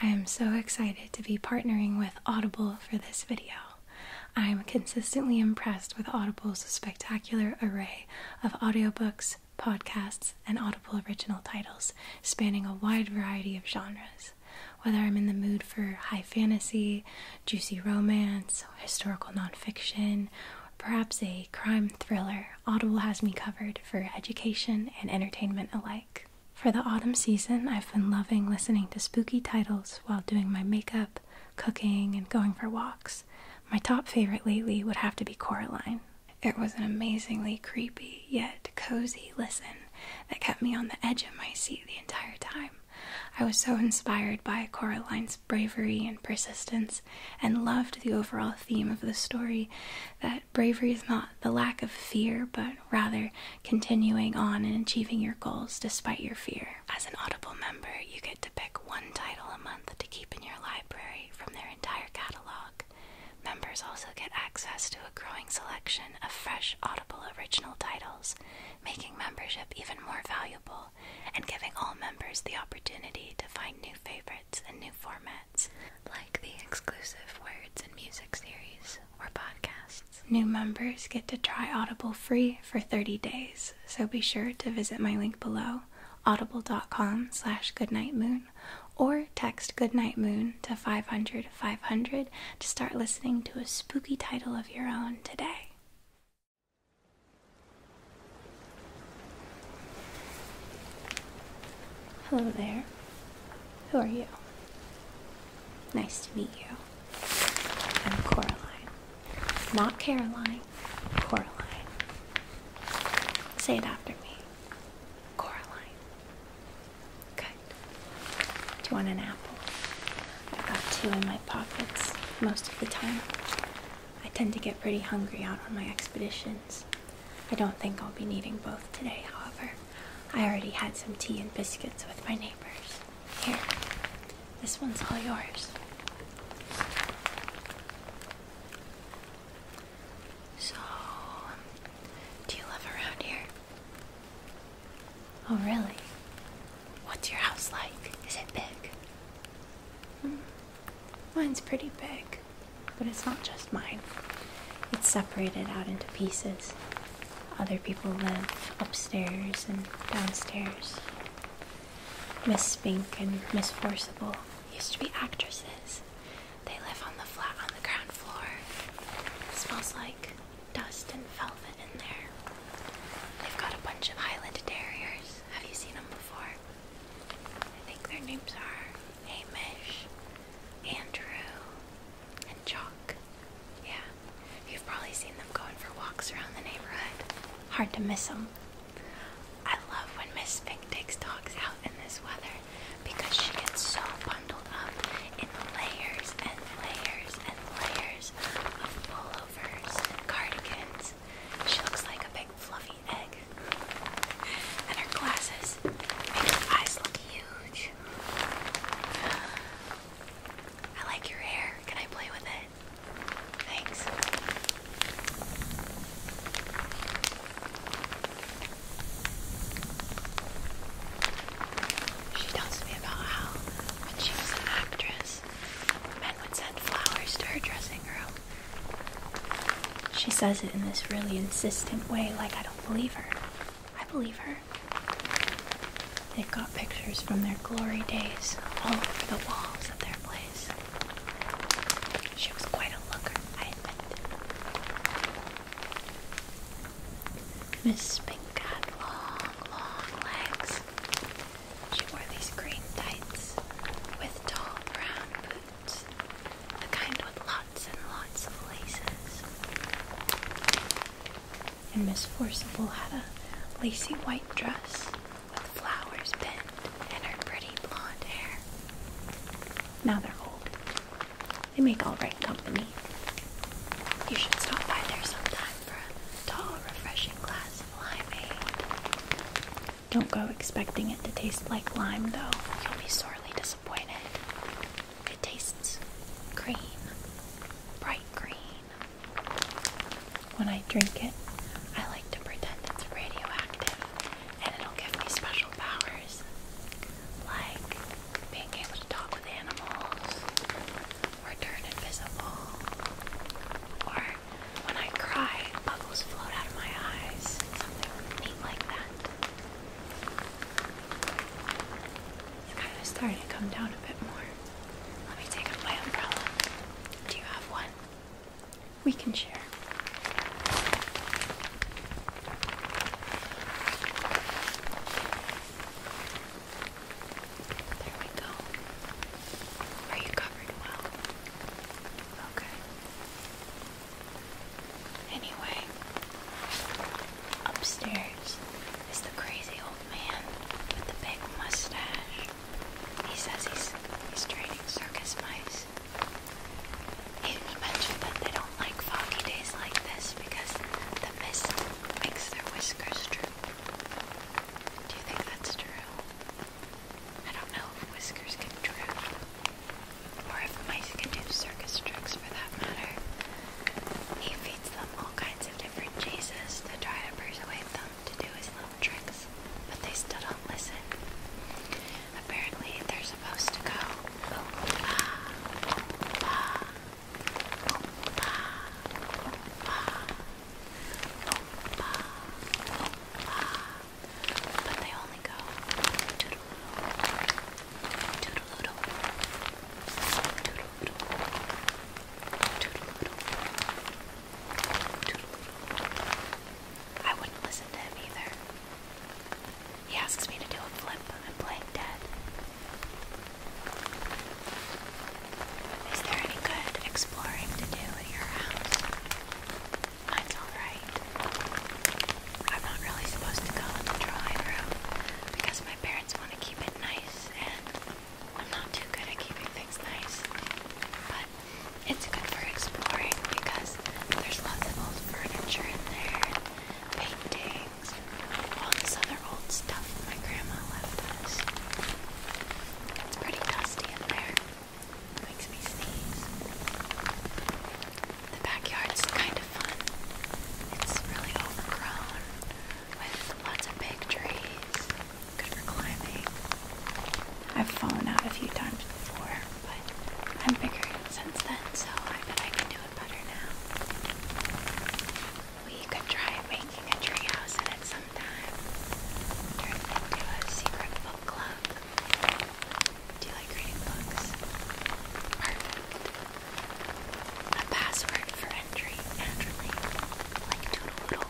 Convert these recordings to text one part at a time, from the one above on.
I am so excited to be partnering with Audible for this video. I am consistently impressed with Audible's spectacular array of audiobooks, podcasts, and Audible original titles spanning a wide variety of genres. Whether I'm in the mood for high fantasy, juicy romance, historical nonfiction, or perhaps a crime thriller, Audible has me covered for education and entertainment alike. For the autumn season, I've been loving listening to spooky titles while doing my makeup, cooking, and going for walks. My top favorite lately would have to be Coraline. It was an amazingly creepy yet cozy listen that kept me on the edge of my seat the entire time. I was so inspired by Coraline's bravery and persistence and loved the overall theme of the story that bravery is not the lack of fear, but rather continuing on and achieving your goals despite your fear. As an Audible member, you get to pick one title a month to keep in your library from their entire catalog. Members also get access to a growing selection of fresh Audible original titles, making membership even more valuable and giving all members the opportunity to find new favorites and new formats like the exclusive Words and Music series or podcasts. New members get to try Audible free for 30 days, so be sure to visit my link below, audible.com slash goodnightmoon, or text Goodnight Moon to 500 500 to start listening to a spooky title of your own today. Hello there. Who are you? Nice to meet you. I'm Coraline. Not Caroline, Coraline. Say it after me. Coraline. Good. Do you want an apple? I've got two in my pockets most of the time. I tend to get pretty hungry out on my expeditions. I don't think I'll be needing both today, however. I already had some tea and biscuits with my neighbors. Here, this one's all yours. So, do you live around here? Oh, really? What's your house like? Is it big? Hmm, mine's pretty big. But it's not just mine, it's separated out into pieces. Other people live upstairs and downstairs. Miss Spink and Miss Forcible used to be actresses. They live on the flat on the ground floor. It smells like dust and velvet in there. They've got a bunch of Highland Terriers. Have you seen them before? I think their names are Hamish, Andrew, and Chalk. Yeah, you've probably seen them going for walks around the neighborhood. Hard to miss them. I love when Miss Fink takes dogs out in this weather because she gets so bundled up in layers and layers and layers of pullovers and cardigans. She looks like a big fluffy egg. And her glasses make her eyes look huge. I like your hair. Can I play with it? Thanks. She tells me about how, when she was an actress, men would send flowers to her dressing room. She says it in this really insistent way, like I don't believe her. I believe her. They've got pictures from their glory days all over the walls of their place. She was quite a looker, I admit. Miss Spink had long, long legs. She wore these green tights with tall brown boots boots. The kind with lots and lots of laces. And Miss Forcible had a lacy white dress with flowers pinned in her pretty blonde hair. Now they're old. They make all right company. You should stop by there sometime for a tall, refreshing glass of limeade. Don't go expecting it to taste like lime, though. You'll be sorely disappointed. It tastes green, bright green. When I drink it, I like to pretend it's radioactive and it'll give me special powers like being able to talk with animals or turn invisible or when I cry, bubbles float out of my eyes, something neat like that. It's kind of starting to come down a bit more. Let me take up my umbrella. Do you have one? We can share. There we go. Are you covered well? Okay. Anyway, upstairs is the crazy old man with the big mustache. He says he's he's training circus mice. He mentioned that they don't like foggy days like this because the mist makes their whiskers droop. Do you think that's true? I don't know if whiskers can droop. Or if mice can do circus tricks for that matter. He feeds them all kinds of different cheeses to try to persuade them to do his little tricks, but they still don't listen. Apparently, they're supposed to go but they only go I wouldn't listen to him either. He asks me to do a flip. I'm playing dead. Is there any good exploring to do at your house? Mine's alright. I'm not really supposed to go in the drawing room because my parents want to keep it nice and I'm not too good at keeping things nice. But it's good for exploring because there's lots of old furniture in there, paintings, all this other old stuff my grandma left us. It's pretty dusty in there. It makes me sneeze. The backyard's kind of fun. It's really overgrown with lots of big trees, good for climbing. I've fallen out a few times before, but I'm bigger since then, so I bet I can do it better now. We could try making a tree house in it sometime. Turn it into a secret book club. Do you like reading books? Perfect. A password for entry, naturally, like Toodle-Oodle.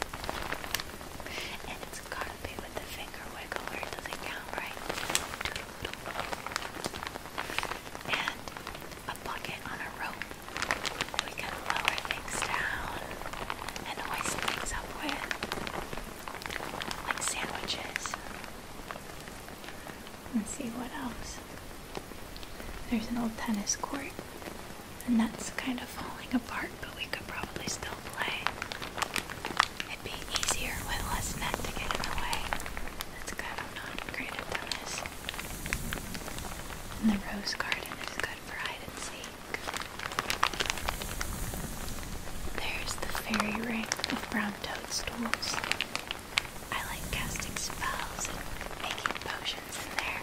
And it's gotta be with the finger wiggle or doesn't count right. Toodle-Oodle. And a bucket on a rope that we can lower things down and hoist things up with, like sandwiches. Let's see what else. There's an old tennis court, and that's kind of falling apart, but we could probably still play. It'd be easier with less net to get in the way. That's good, I'm not great at tennis. And the rose garden is good for hide and seek. There's the fairy ring of brown toadstools. I like casting spells and making potions in there.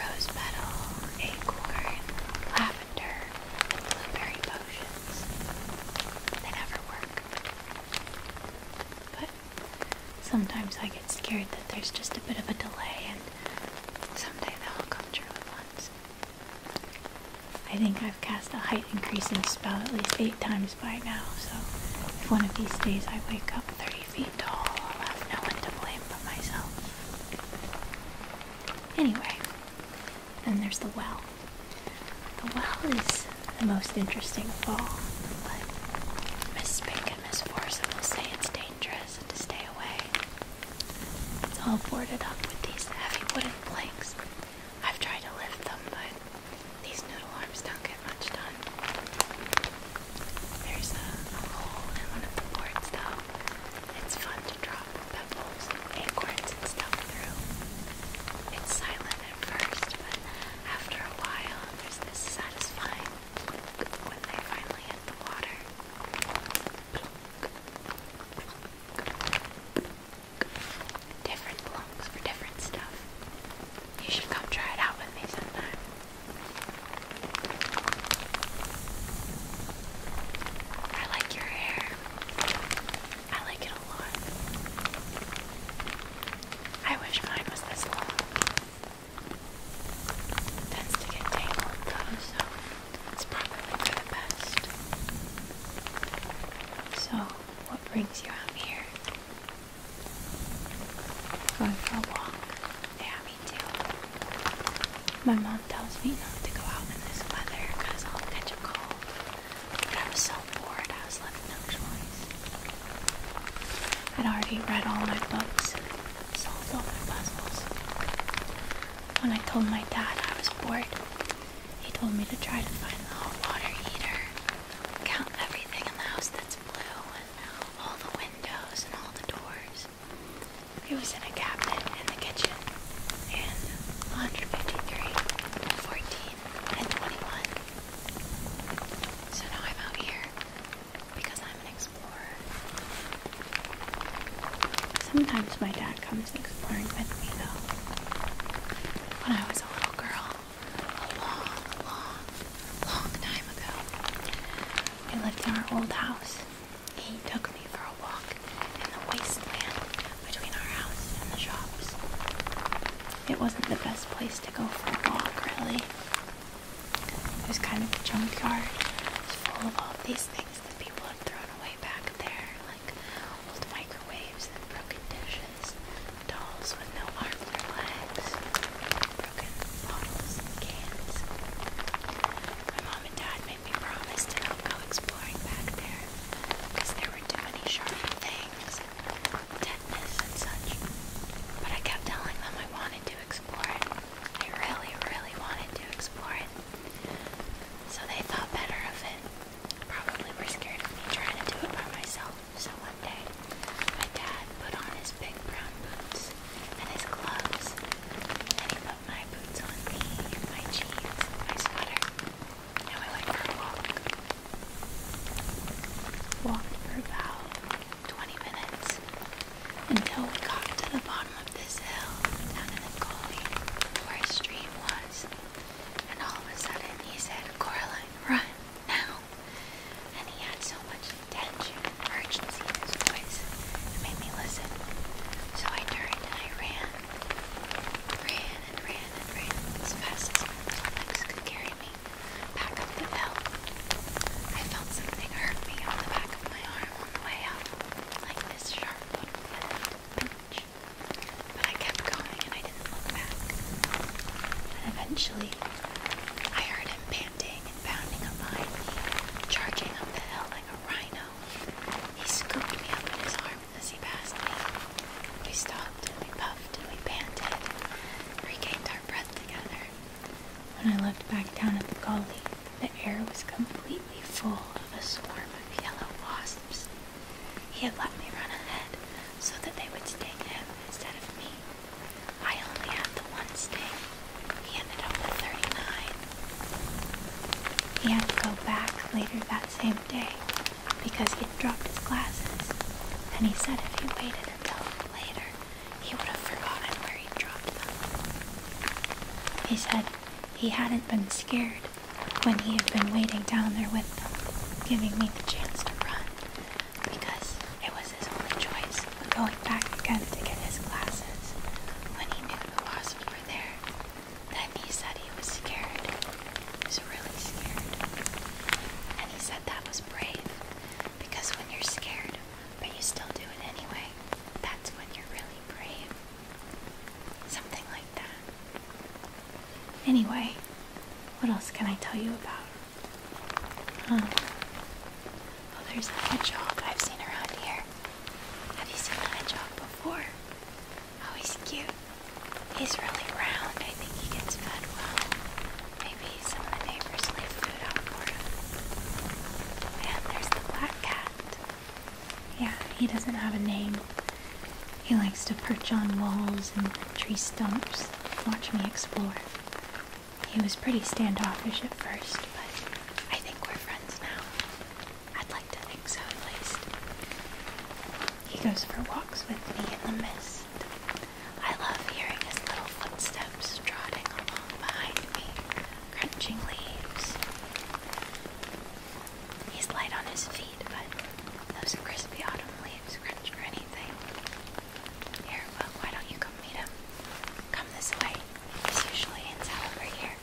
Rose petal, acorn, lavender, and blueberry potions. They never work. But sometimes I get scared that there's just a bit of a delay and someday they'll come true at once. I think I've cast a height increasing spell at least eight times by now, so if one of these days I wake up 30 feet tall, I'll have no one to blame but myself. Anyway, then there's the well. The well is the most interesting fall, but Miss Spink and Miss Forson will say it's dangerous and to stay away. It's all boarded up with these heavy wooden planks. I've tried to lift them, but these noodle arms don't get much done. There's a, hole in one of the boards, though. It's fun to drop pebbles and acorns and stuff through. It's silent at first, but after a while, there's this satisfying when they finally hit the water different lungs for different stuff. You should come try it out with me sometime. I like your hair. I like it a lot. I wish mine was this long. tends to get tangled though, so it's probably for the best. So what brings you out here? Going for a walk? Yeah, me too. My mom tells me not to go out in this weather because I'll catch a cold. But I was so bored, I was left no choice. I'd already read all my books and solved all my puzzles. When I told my dad I was bored, he told me to try to find the hot water heater, count everything in the house that's blue, and all the windows and all the doors. He was in a cabinet in the kitchen, and 153, 14, and 21. So now I'm out here because I'm an explorer. Sometimes my dad comes comes exploring with me though. When I was a little girl, a long, long, long time ago, we lived in our old house. He took me for a walk in the wasteland between our house and the shops. It wasn't the best place to go for a walk, really. It was kind of a junkyard. It full of all these things that people had thrown away back there like old microwaves and broken dishes, dolls with no arms or legs, broken bottles and cans. My mom and dad made me promise to not go exploring back there because there were too many sharp things, tetanus and such. But I kept telling them I wanted to explore it. I really, really wanted to explore it. So they thought better of it probably were scared of me trying to do it by myself. So one day, my dad put on his big brown boots and his gloves, and he put my boots on me, and my jeans, and my sweater, and we went for a walk. Walked for about 20 minutes until we got to the bottom of this hill down in the gully where a stream was. And all of a sudden he said, Coraline, run, now. And he had so much tension and urgency in his voice, it made me listen. So I turned and I ran, ran and ran and ran as fast as my little legs could carry me back up the hill. I felt something hurt me on the back of my arm way up, like this sharp little pinch. But I kept going and I didn't look back. And eventually, I heard him panting and bounding up behind me, charging up the hill like a rhino. He scooped me up in his arm as he passed me. We stopped and we puffed and we panted, We gained our breath together. When I looked back down at the gully, the air was completely full of a swarm of yellow wasps he had let me run ahead so that they would sting him instead of me. I only had the one sting. He ended up with 39. He had to go back later that same day because he had dropped his glasses, and he said if he waited until later, he would have forgotten where he dropped them. He said he hadn't been scared when he had been waiting down there with them, giving me the chance to run, because it was his only choice of going back again to get his glasses when he knew the wasps were there. Then he said he was scared. He was really scared. And he said that was brave, because when you're scared, but you still do it anyway, that's when you're really brave. Something like Anyway, what else can I tell you about? Um, oh, there's a hedgehog. I've seen around here. Have you seen a hedgehog before? Oh, he's cute. He's really round. I think he gets fed well. Maybe some of the neighbors leave food out for him. And there's the black cat. Yeah, he doesn't have a name. He likes to perch on walls and tree stumps, watch me explore. He was pretty standoffish at first, but I think we're friends now. I'd like to think so, at least. He goes for walks with me in the mist. I love hearing his little footsteps trotting along behind me, crunching leaves. He's light on his feet but those crispy autumn leaves crunch or anything. Here, why don't you come meet him? Come this way. He's usually in over here.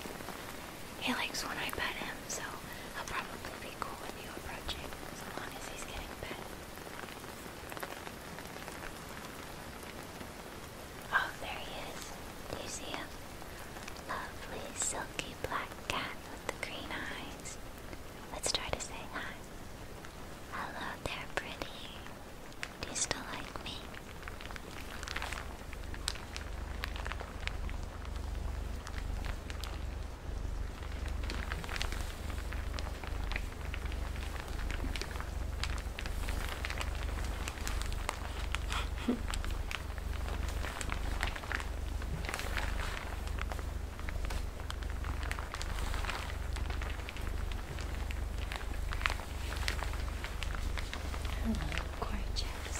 He likes when I pet him, so he'll probably be cool with you approaching, as long as he's getting pet. Oh, there he is. Do you see him? Lovely silky black cat the green eyes. Let's try to say hi. Hello there, pretty. Do you still like me? Hello, gorgeous.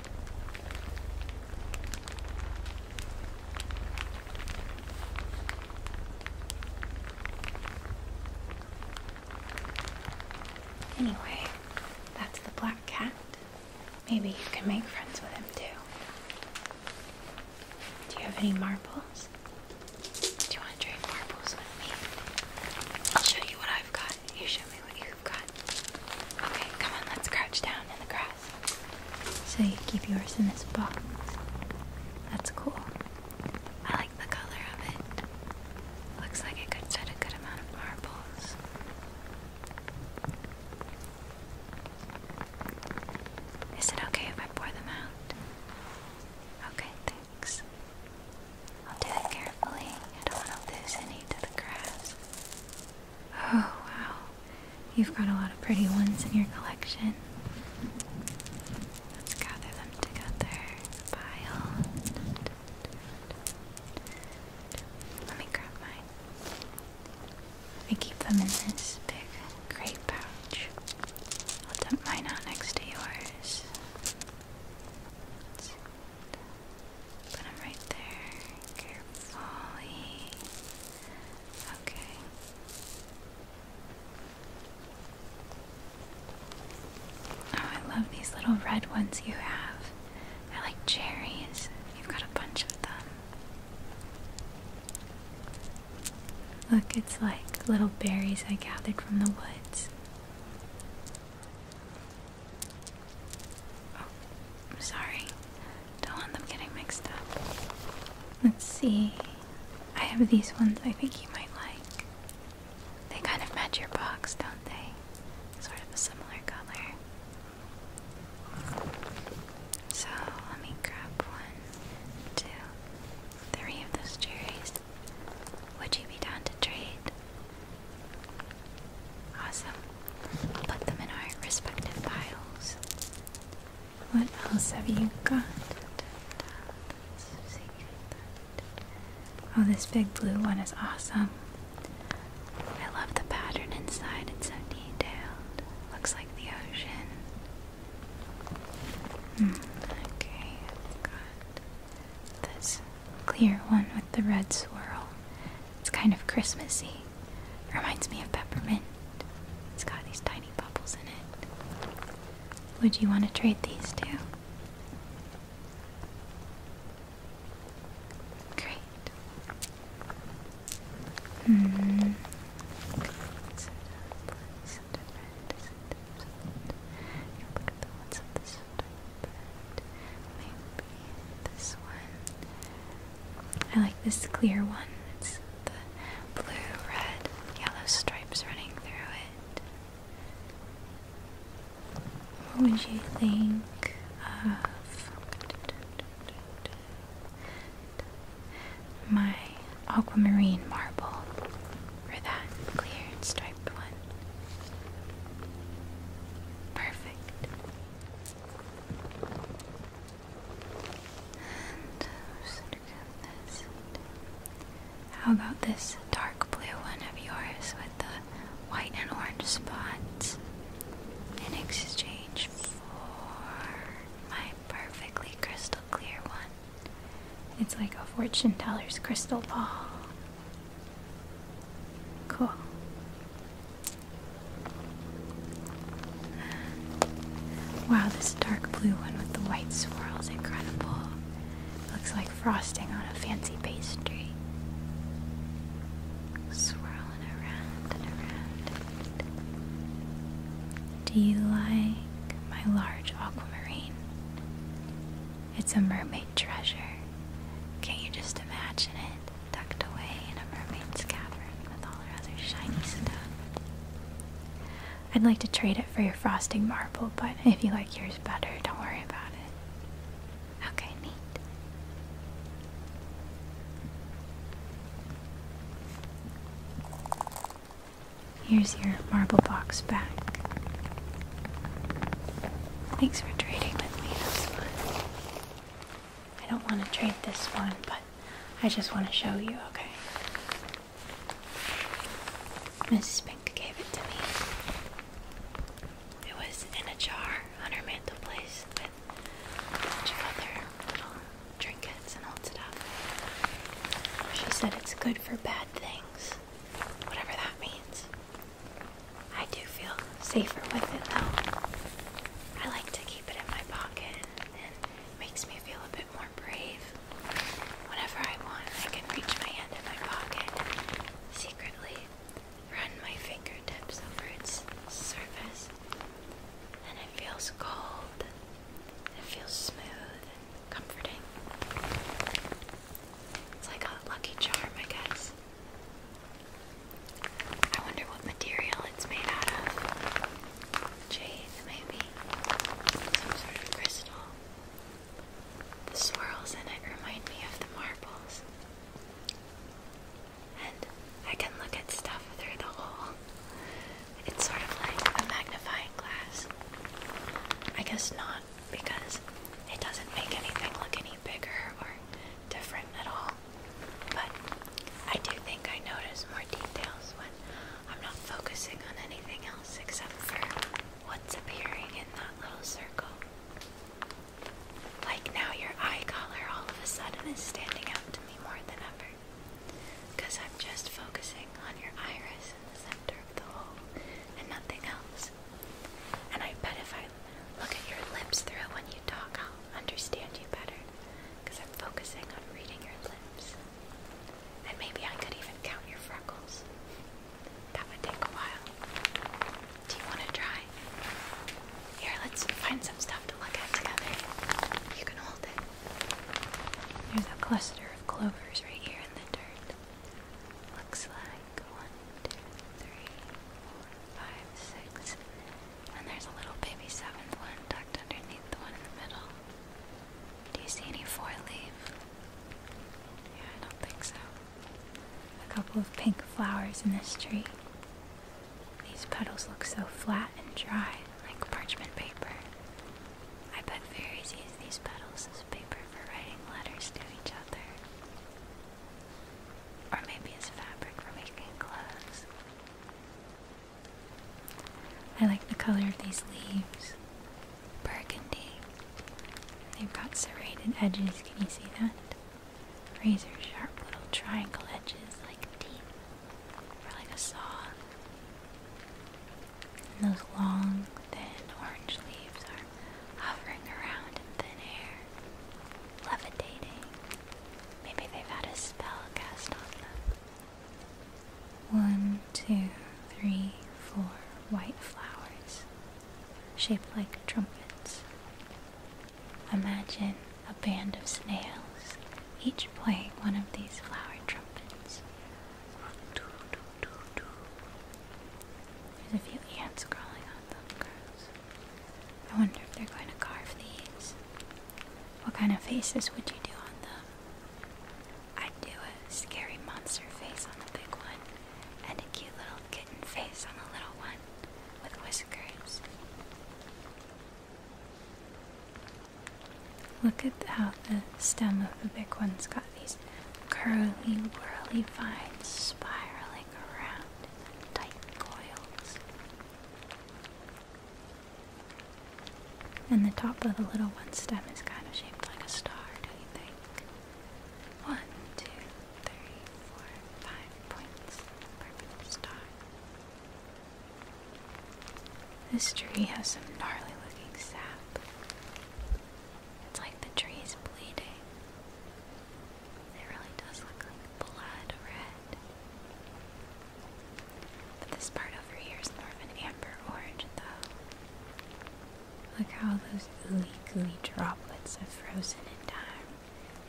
Anyway, that's the black cat. Maybe you can make friends with him too. Do you have any marbles? Do you want to trade marbles with me? I'll show you what I've got. You show me what you've got. Okay, come on, let's crouch down in the grass. So you keep yours in this box. That's cool. I like the color of it. Looks like it could fit a good amount of marbles. Is it okay if I pour them out? Okay, thanks. I'll do it carefully. I don't want to lose any to the grass. Oh, wow. You've got a lot of pretty ones in your collection. Let's gather them together pile. Let me grab mine. I keep them in this big gray pouch. I'll dump mine out next to yours. Put right there, carefully. Okay. Oh, I love these little red ones you have. They're like cherries. You've got a bunch of them. Look, it's like little berries I gathered from the woods. I'm oh, sorry. Don't want them getting mixed up. Let's see. I have these ones I think you might like. They kind of match your box, don't they? Sort of a similar color. So let me grab one, two, three of those cherries. Would you be down to trade? Awesome. Put them in our respective piles. What else have you got? Oh, this big blue one is awesome. I love the pattern inside, it's so detailed. Looks like the ocean. Hmm, okay, i this clear one with the red swirl. It's kind of Christmassy. It reminds me of peppermint. It's got these tiny bubbles in it. Would you want to trade these two? Great. Hmm maybe this one. I like this clear one. It's the blue, red, yellow stripes running through it. What would you think of my aquamarine marble for that clear striped one? Perfect. Uh, How about this dark blue one of yours with the white and orange spots in exchange for my perfectly crystal clear one? It's like a fortune teller's crystal ball. Cool. Wow, this dark blue one with the white swirls incredible. Looks like frosting on a fancy pastry. Swirling around and around. Do you like my large aquamarine? It's a mermaid treasure. Can't you just imagine it? Tucked away in a mermaid's cavern with all her other shiny stuff. I'd like to trade it for your frosting marble, but if you like yours better, don't worry about it. Okay, neat. Here's your marble box back. Thanks for trading with me this one. I don't want to trade this one, but I just want to show you, okay? Mrs. Pink gave it to me. It was in a jar on her mantelpiece with a bunch of other little trinkets and holds it She said it's good for bad things, whatever that means. I do feel safer with it though. I like to keep it in my pocket and it makes me feel a bit more brave. Whenever I want, I can reach my hand in my pocket secretly run my fingertips over its surface. And it feels cold. It feels smooth and comforting. It's like a lucky charm, I guess. I wonder what material it's made out of. Jade, maybe. Some sort of crystal. The swirls in it remind me of the marbles. And I can look at stuff through the hole. It's sort of like a magnifying glass. I guess not because it doesn't make anything look any bigger or different at all. But I do think I notice more details when I'm not focusing on anything else except for what's appearing in that little circle. Like now, your eye color all of a sudden is standing out to me more than ever. Because I'm just focusing on your iris in the center of the hole and nothing else. And I bet if I look at your lips through it when you talk, I'll understand you better. Because I'm focusing on reading your lips. And maybe I could even count your freckles. That would take a while. Do you want to try? Here, let's find some stuff to look at together. You can hold it. There's a cluster of clovers right here in the dirt. Looks like one, two, three, four, five, six. And there's a little baby seventh one tucked underneath the one in the middle. Do you see any four leaf? Yeah, I don't think so. A couple of pink flowers in this tree. These petals look so flat and dry, like parchment paper. I bet fairies use these petals as paper for writing letters to each other. Or maybe it's fabric for making clothes. I like the color of these leaves. Burgundy. They've got serrated edges, can you see that? Razor sharp little triangle edges like teeth. Or like a saw. And those long thin orange leaves are hovering around in thin air, levitating. Maybe they've had a spell cast on them. One, two, three, four white flowers shaped like trumpets. Imagine a band of snails, each playing one of these flower trumpets. Do, there's a few ants crawling on them, I wonder if they're going to carve these. What kind of faces would you do on them? I'd do a scary monster face on the big one, and a cute little kitten face on the little one with whiskers. Look at how the stem of the big one's got these its curly, whirly vines spiraling around tight coils. And the top of the little one stem is kind of shaped like a star, do you think? One, two, three, four, five points. Perfect star. This tree has some gnarly looking sap. It's like the tree's bleeding. It really does look like blood red. But this part over here is more of an amber orange, though. Look how those ooey gooey droplets have frozen in time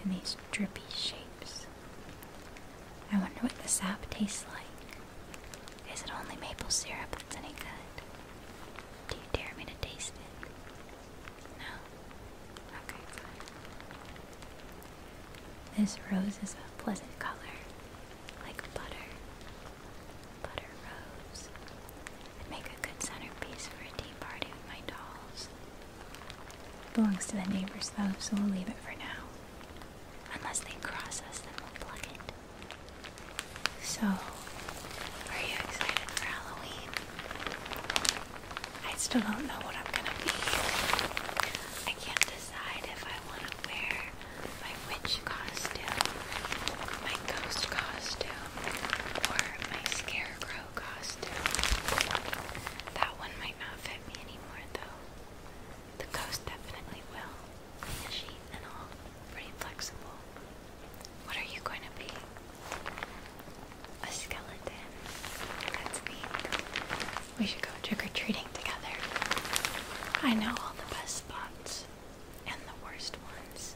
in these drippy shapes. I wonder what the sap tastes like. Is it only maple syrup that's any good? Do you dare me to taste it? No? Okay, This rose is a pleasant color, like butter. Butter rose. would make a good centerpiece for a tea party with my dolls. belongs to the neighbors though, so we'll leave it for now. Unless they cross us, then we'll plug it. So, are you excited for Halloween? I still don't know what I'm gonna be. I can't decide if I want to wear my witch costume, my ghost costume, or my scarecrow costume. That one might not fit me anymore, though. The ghost definitely will. She and all pretty flexible. What are you going to be? A skeleton. That's neat. We should go trick or treating together. I know all the best spots and the worst ones.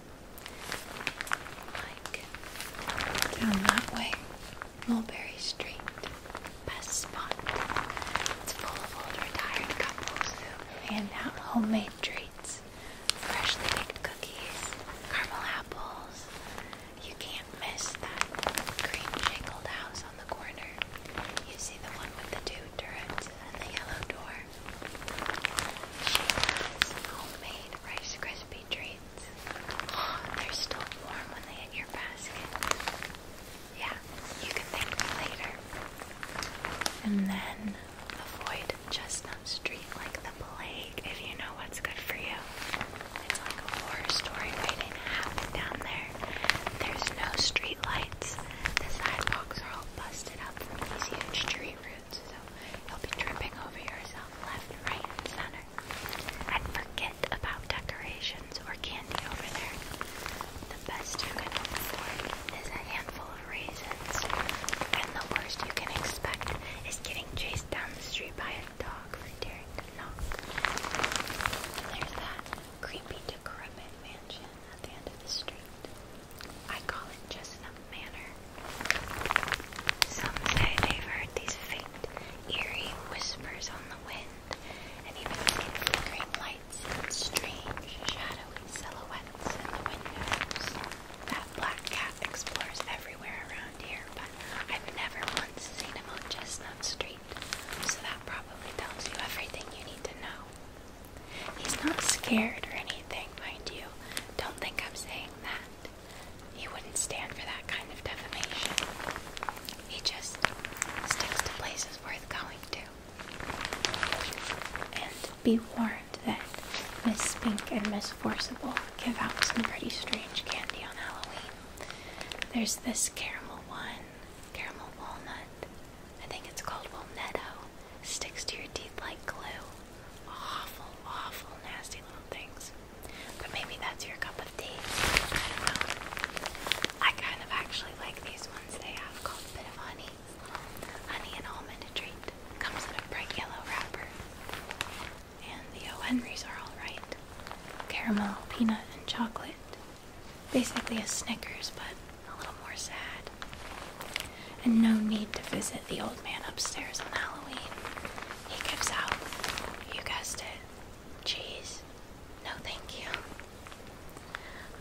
Like down that way, Mulberry Street. Best spot. It's full of old retired couples who hand out homemade treats freshly baked cookies, caramel apples. You can't miss that green shingled house on the corner. You see the one with the two turrets and the yellow door. She has homemade Rice Krispie treats. Oh, they're still warm when they hit your basket. Yeah, you can thank me later. And then Avoid Chestnut Street like the plague if you know what's good for you. It's like a horror story waiting to happen down there. There's no street lights. The sidewalks are all busted up from these huge tree roots, so you'll be tripping over yourself left, right, and center. And forget about decorations or candy over there. The best you can afford is a handful of reasons. And the worst you can expect is getting chased down the street by a dog for daring to knock. There's that creepy decrepit mansion at the end of the street. I call it Chestnut Manor. Some say they've heard these faint, eerie whispers on the wind, and even seen flickering lights strange, shadowy silhouettes in the windows. That black cat explores everywhere around here, but I've never once seen him on Chestnut Street, so that probably tells you everything you need to know. He's not scared or anything, mind you. Don't think I'm saying that. He wouldn't stand for that kind of defamation. He just sticks to places worth going to. And be warned learned that Miss Pink and Miss Forcible give out some pretty strange candy on Halloween. There's this caramel one, caramel walnut. I think it's called Walnetto. Sticks to your teeth like glue. Awful, awful, nasty little things. But maybe that's your cup of tea. I don't know. I kind of actually like these ones they have called Bit of Honey honey and almond treat. Comes in a bright yellow wrapper. And the O. are alright. Caramel, peanut, and chocolate. Basically a Snickers, but a little more sad. And no need to visit the old man upstairs on Halloween. He gives out, you guessed it, cheese. No, thank you.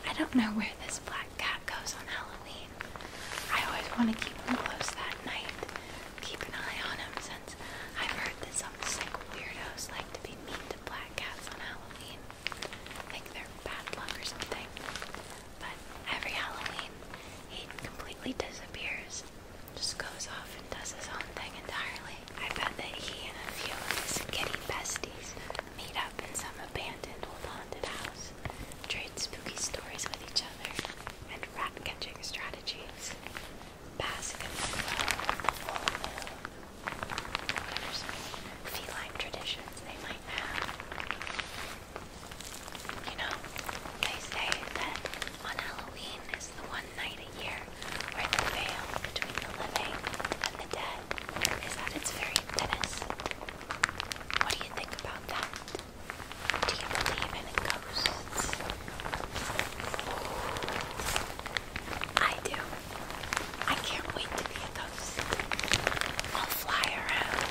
I don't know where this flower cat goes on Halloween. I always want to keep him close that night. Keep an eye on him since I've heard that some sick weirdos like to be mean to black cats on Halloween. Think they're bad luck or something. But every Halloween, he completely disappears. Just goes off and does his own thing entirely. I bet that he and a few of his kitty besties meet up in some abandoned old haunted house trade spooky stories with each other, and rat catching strategies. Basque in feline traditions they might have. You know, they say that on Halloween is the one night a year where the veil between the living and the dead is at its thinnest. What do you think about that? Do you believe in ghosts? I do. I can't wait to be a ghost. I'll fly around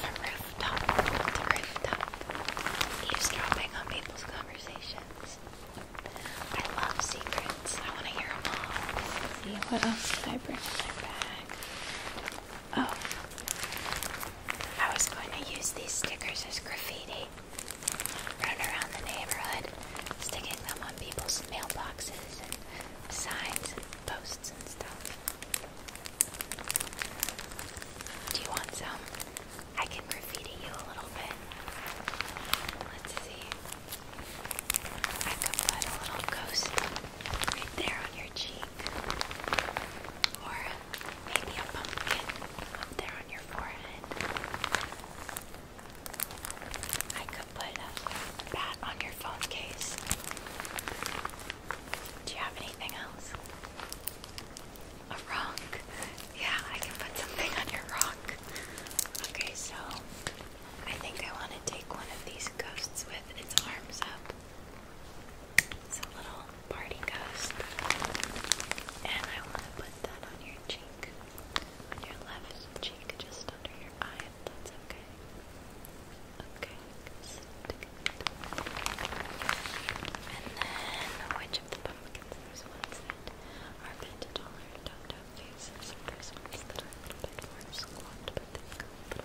from rooftop to rooftop, eavesdropping on people's conversations. I love secrets. I want to hear them all. Let's see, what else did I bring in my bag? Oh, I was going to use these stickers as graffiti. Run around the neighborhood, sticking them on people's mailboxes and signs and posts and stuff. Do you want some? I can graffiti you a little bit. Let's see. I could put a little ghost right there on your cheek. Or maybe a pumpkin up there on your forehead. I could put that on your phone case. Do you have anything else? A rock? Yeah, I can put something on your rock. Okay, so I think I want to take one of these ghosts with its arms up it's a little party ghost. And I want to put that on your cheek. On your left cheek, just under your eye, that's okay. Okay, And then, which of the pumpkins? There's ones that are painted all our dollars, faces, there's ones that are a little bit more squat, but they've got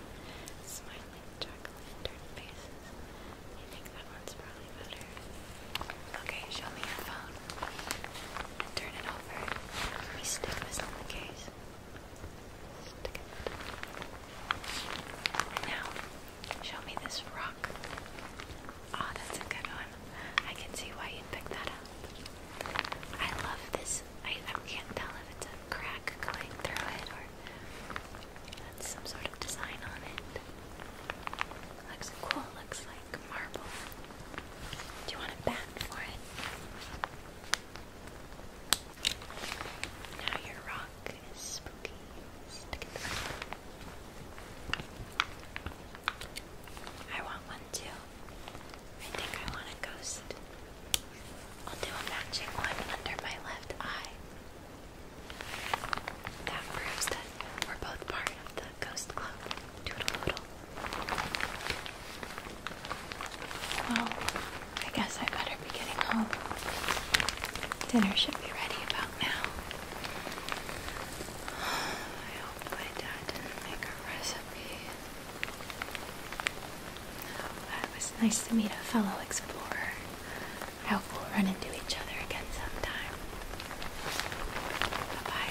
like jack o' faces. I think that one's probably better. Okay, show me your phone. Turn it over. Let me stick the case. Stick it. Now, show me this rock. Ah, that's a good one. I can see why you picked that up. I love this I, I can't tell if it's a crack going through it or some sort of design on it. Looks cool, looks like marble. Do you want a bat for it? Now your rock is spooky. Stick it I want one too. I think I want a ghost. I'll do a matching one under my left eye. That proves that we're both part of the ghost club. Doodle doodle. Well, I guess I better be getting home. Dinner should be ready about now. I hope my dad did make a recipe it was nice to meet a fellow explorer. I hope we'll run into each other again sometime. Bye